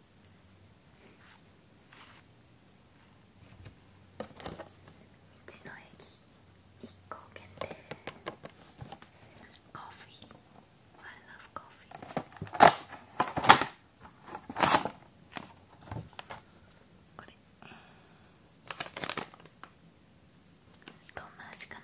道の駅一個限定コーヒー I love c o f これどんな味かな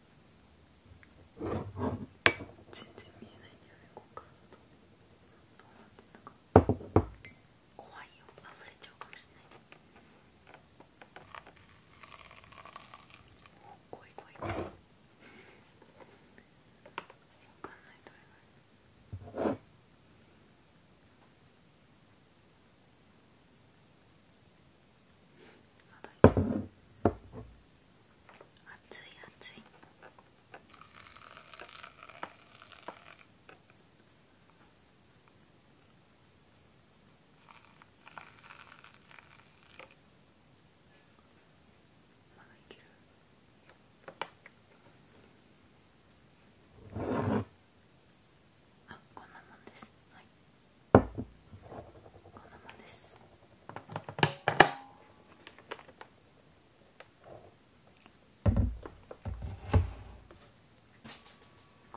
全然見えないんだよねこっからどうなってんだか怖いよあ溢れちゃうかもしれない怖い怖い怖い分かんない熱い熱いまだいけるあこんなもんですはいこんなもんです。こ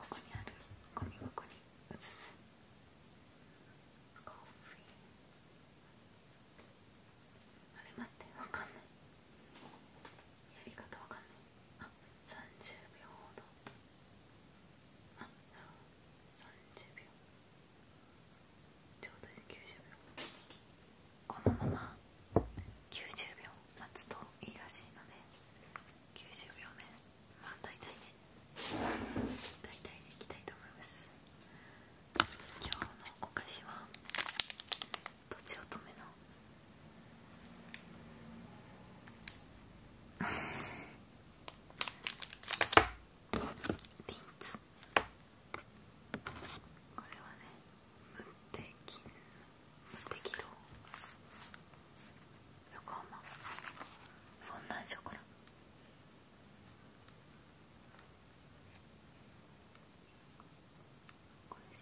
こにあるゴミ箱に移すコーヒーあれ待ってわかんないやり方わかんないあ三30秒ほどあなる30秒ちょうどいい90秒このまま90秒待つといいらしいので90秒ねまあ大体ね大体ねいきたいと思います今日のお菓子はとちおとめのリ ンツこれはね無敵無敵堂横浜フォンダンショコラこれです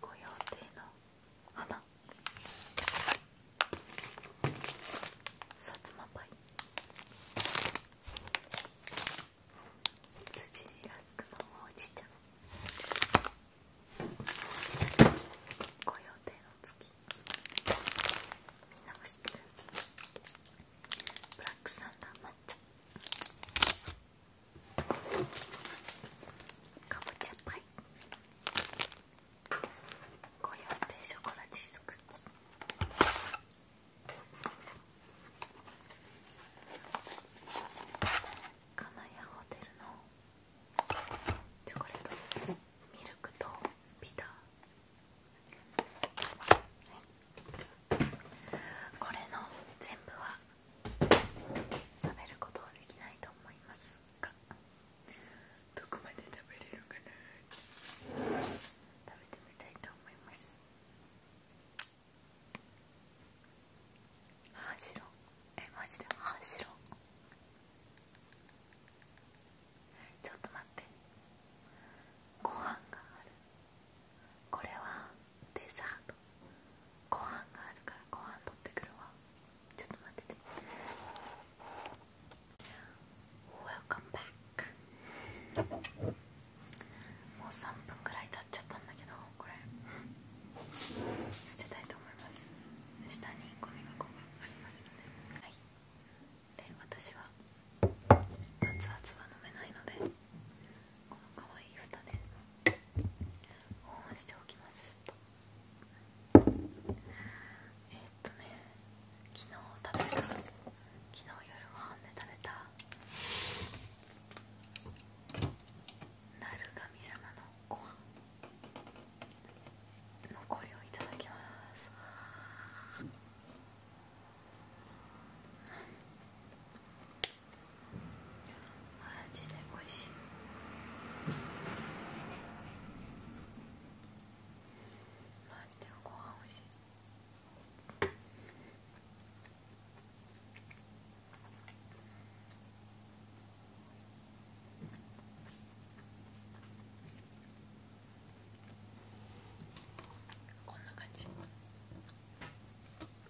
ご用邸の花さつまパイ辻にラスクのおじちちゃんご用邸の月みんなも知ってるブラックサンダー抹茶かぼちゃパイご用定ショコラチーズクッキーカナホテルのチョコレートミルクとビターこれの全部は食べることはできないと思いますがどこまで食べれるかな食べてみたいと思いますはあ白えマジではあ白ちょっと待ってご飯があるこれはデザートご飯があるからご飯取ってくるわちょっと待ってて Welcome back もう3分くらい経っちゃったんだけどこれ捨てたいと思います下にゴミ箱がありますのではいで私は熱々は飲めないのでこのかわいい蓋で保温しておきますとえっとね昨日食べた昨日夜ご飯で食べた鳴る神様のご飯残りをいただきますマジで美味しいマジでご飯美味しいこんな感じ。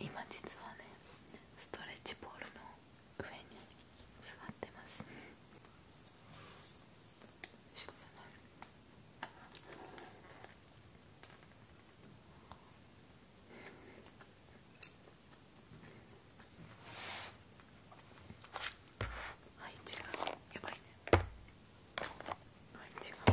今実はねストレッチポールの上に座ってますはい違うやばいねはい違う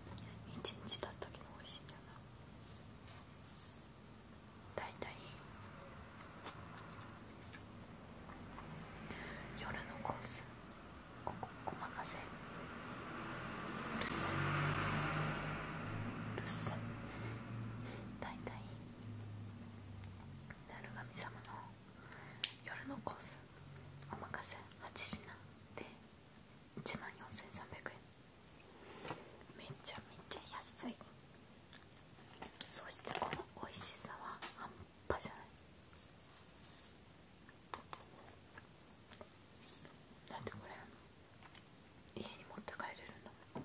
一日たった時も美味しいんだな大体夜のコースおこお任せるっさるっさ大体鳴神様の夜のコースお任せ8品で1万4300円めちゃめちゃ安いそしてこの美味しさは半端じゃないだってこれ家に持って帰れるんだもん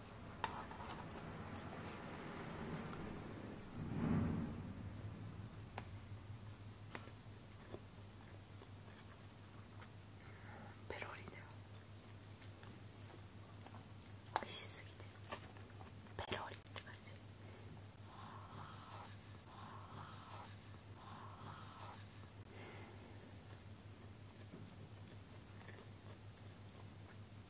ペロリだよ美味しすぎてペロリって感じ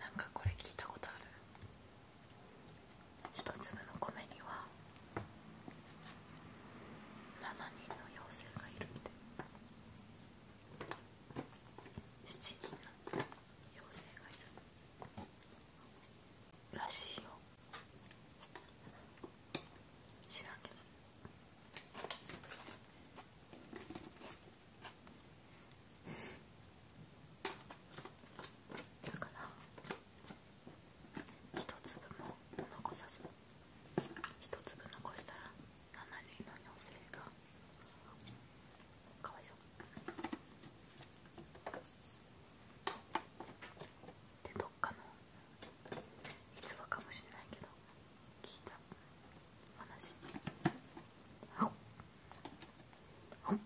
なんかこれ聞いたことある一粒の米には7人の妖精がいるって7人なんだ妖精がいるらしいよ知らんけどだから一粒も残さず一粒残したら7人の妖精がかわいそうでどっかのいつもかもしれないけど聞いた話あっあっ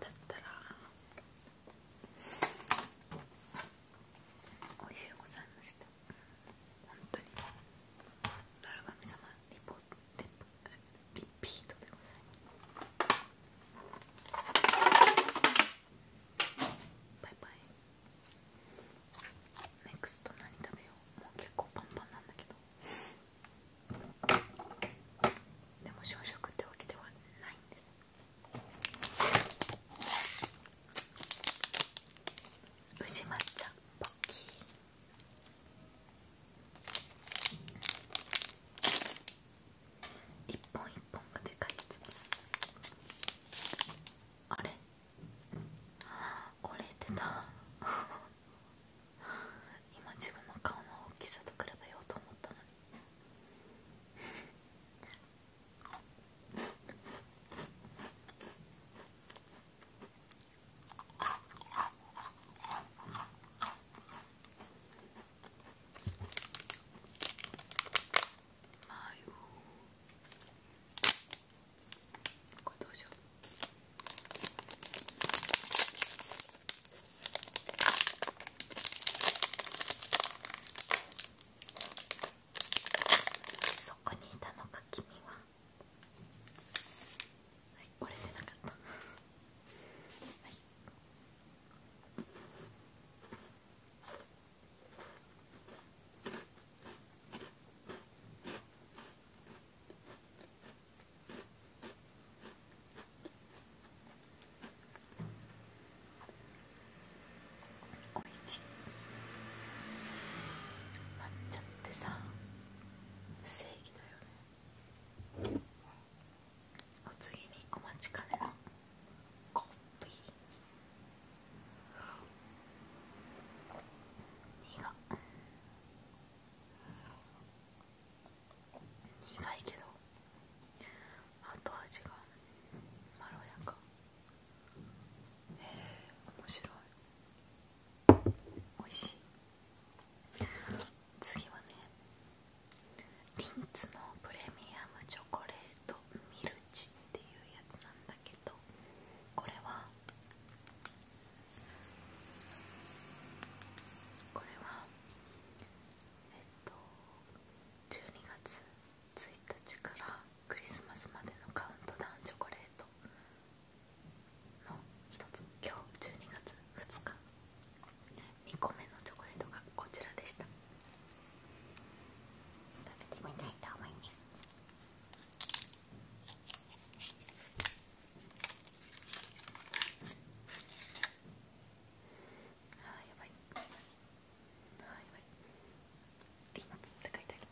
だったらおいしゅうございました本当に村神様リポテリピートでございますバイバイネクスト何食べようもう結構パンパンなんだけどでも小食ってわけではないんです無事抹茶ポッキー一本一本がでかいやつです。あれ折れてた今自分の顔の大きさと比べようと思ったのにこれそこにいたのか君ははい折れてなかったはいおいしいってさ正義だよねお次にお待ちかねのコーヒー苦苦いけど後味がまろやかへえ面白い美味しい次はねリンツのプレミアムチョコレートミルチっていうやつなんだけどこれはこれはえっと12月1日からクリスマスまでのカウントダウンチョコレートの一つ今日12月2日2個目のチョコレートがこちらでした食べてみたいと思いますあーやばいあーやばいリンツって書いてある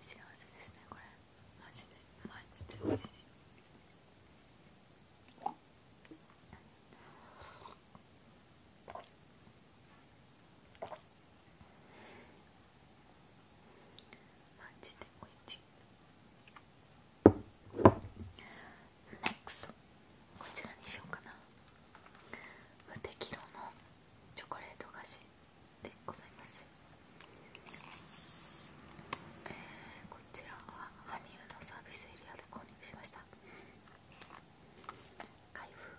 幸せですねこれマジでマジで美味しいマジで美味しい NEXT こちらにしようかな無敵色のチョコレート菓子でございます、えー、こちらは羽生のサービスエリアで購入しました開封こ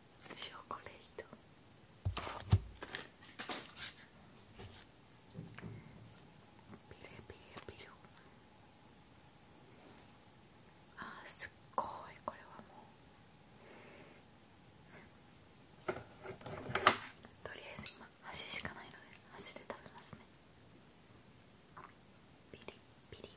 チョコレートピレピレピレあすっごいこれはもうとりあえず今足しかないので足で食べますねピリピリ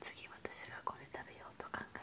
次私がこれ食べようと考え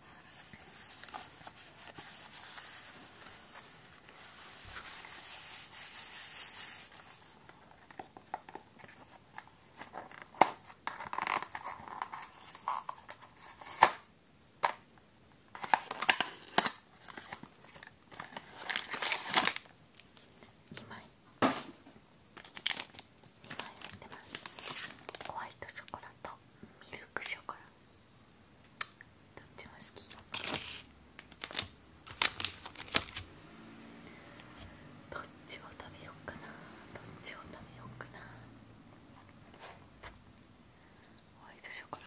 2枚2枚入ってますホワイトショコラとミルクショコラどっちも好きどっちを食べよっかなどっちを食べよっかなホワイトショコラ